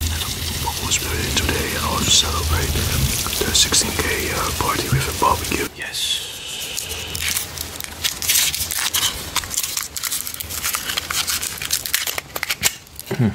We Today I want to celebrate the 16k uh, party with a barbecue. Yes. Hmm.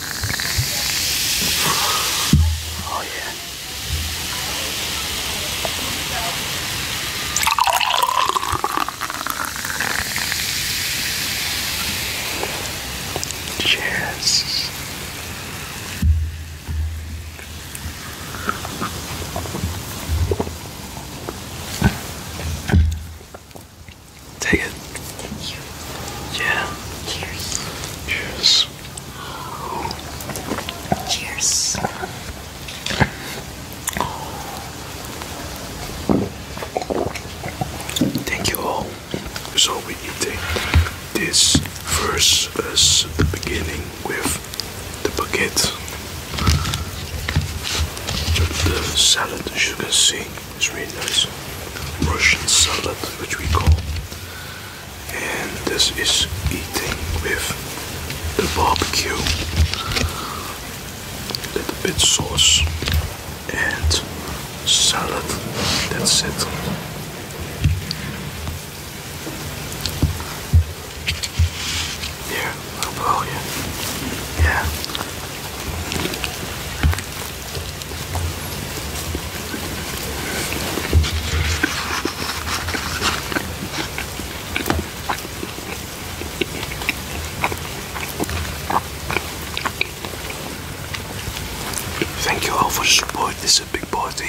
Oh yeah. Cheers. Take it. Thank you. Yeah. Cheers. Cheers. Cheers. Thank you all. So we eating this first as the beginning with the baguette. The salad as you can see. It's really nice. Russian salad, which we call. And this is eating with the barbecue. A little bit sauce and salad. That's it. Yeah, I'll blow you. Yeah. Thank you all for the support. This is a big party.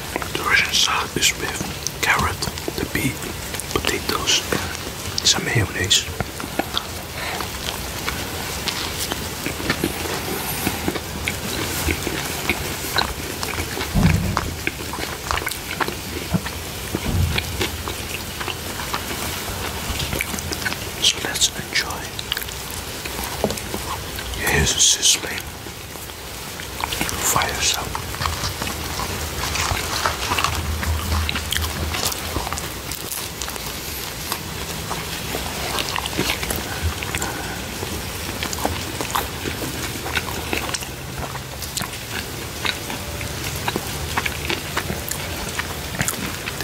The Russian salad is with carrot, the beef, potatoes, and some mayonnaise. So let's enjoy. Here's a sizzling fire soap.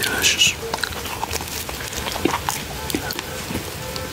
Delicious.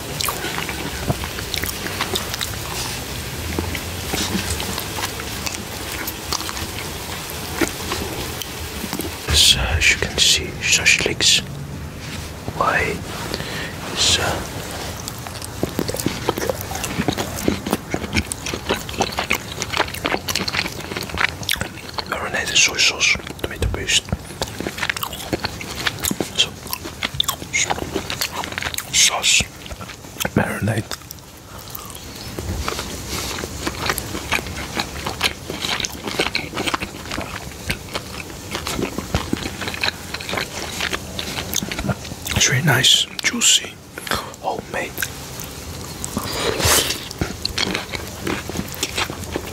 As, uh, as you can see, Shashlik's why is uh, marinated soy sauce, tomato paste. So sauce, marinade. It's nice, juicy, homemade.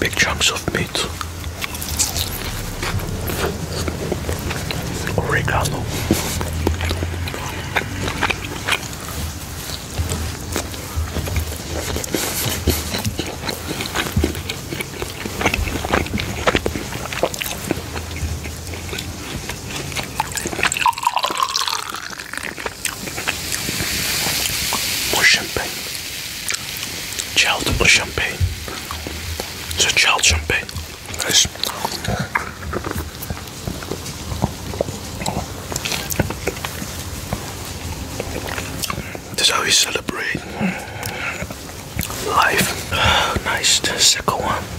Big chunks of meat. Oregano. Or champagne. Child or champagne. It's a Nice. celebrate life. nice. second one.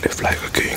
Live like a king.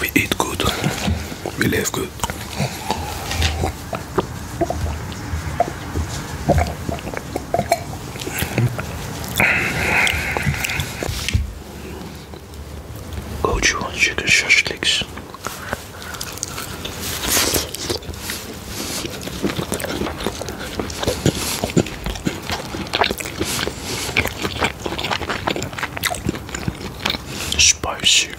We eat good. We live good. Go chew on chicken shashliks. Spicy.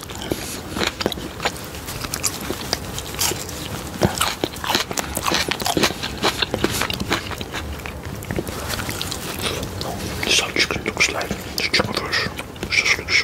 The salt chicken looks like the chicken fish. This looks.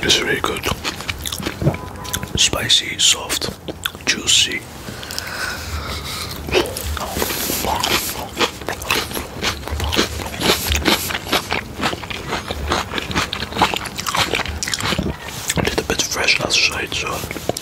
This is really good. Spicy, soft, juicy. A little bit fresh outside, so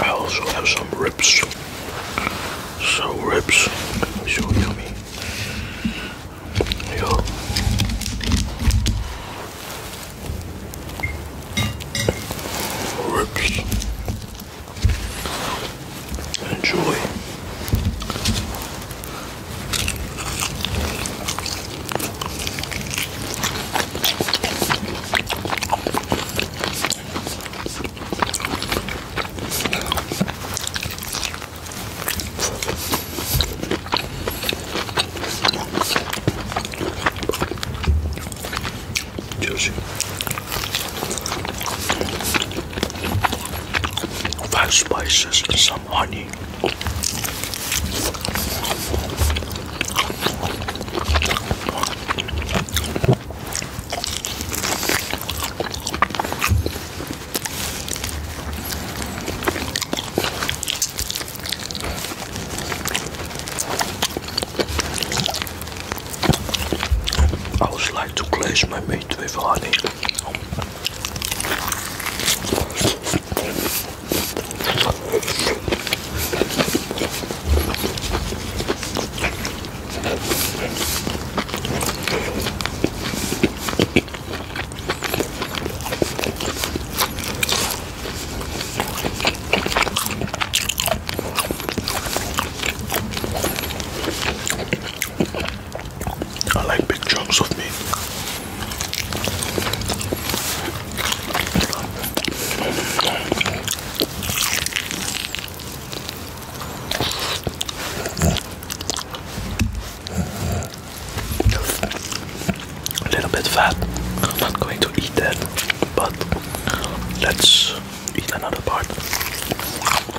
I also have some ribs. So ribs, so yummy. Yo. Ribs. Enjoy. Josie five spices and some honey. I would like to glaze my meat with honey. I like big chunks of meat. A little bit fat. not going to eat that, but let's eat another part.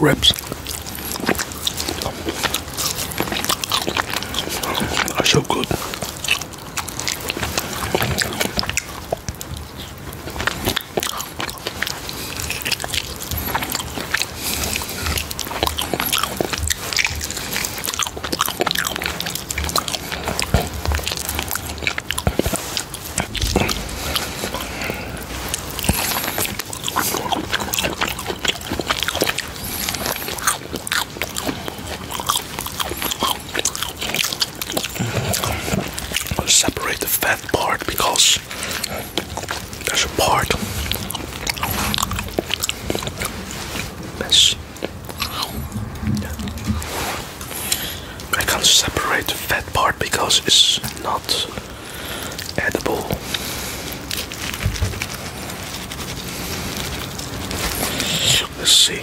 Ribs. Are so good. Separate the fat part because there's a part. That's, I can't separate the fat part because it's not edible. Let's see.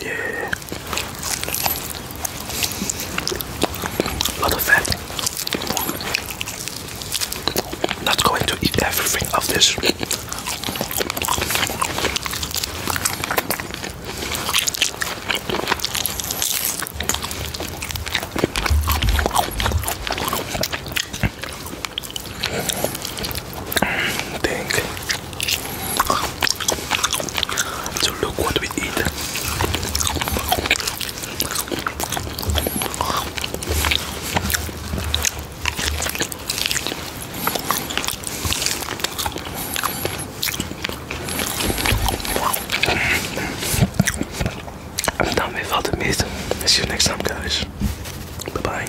Yeah. lot of fat. Not going to eat everything of this thing to look what we eat. I'm done with all the meat. See you next time, guys. Bye bye.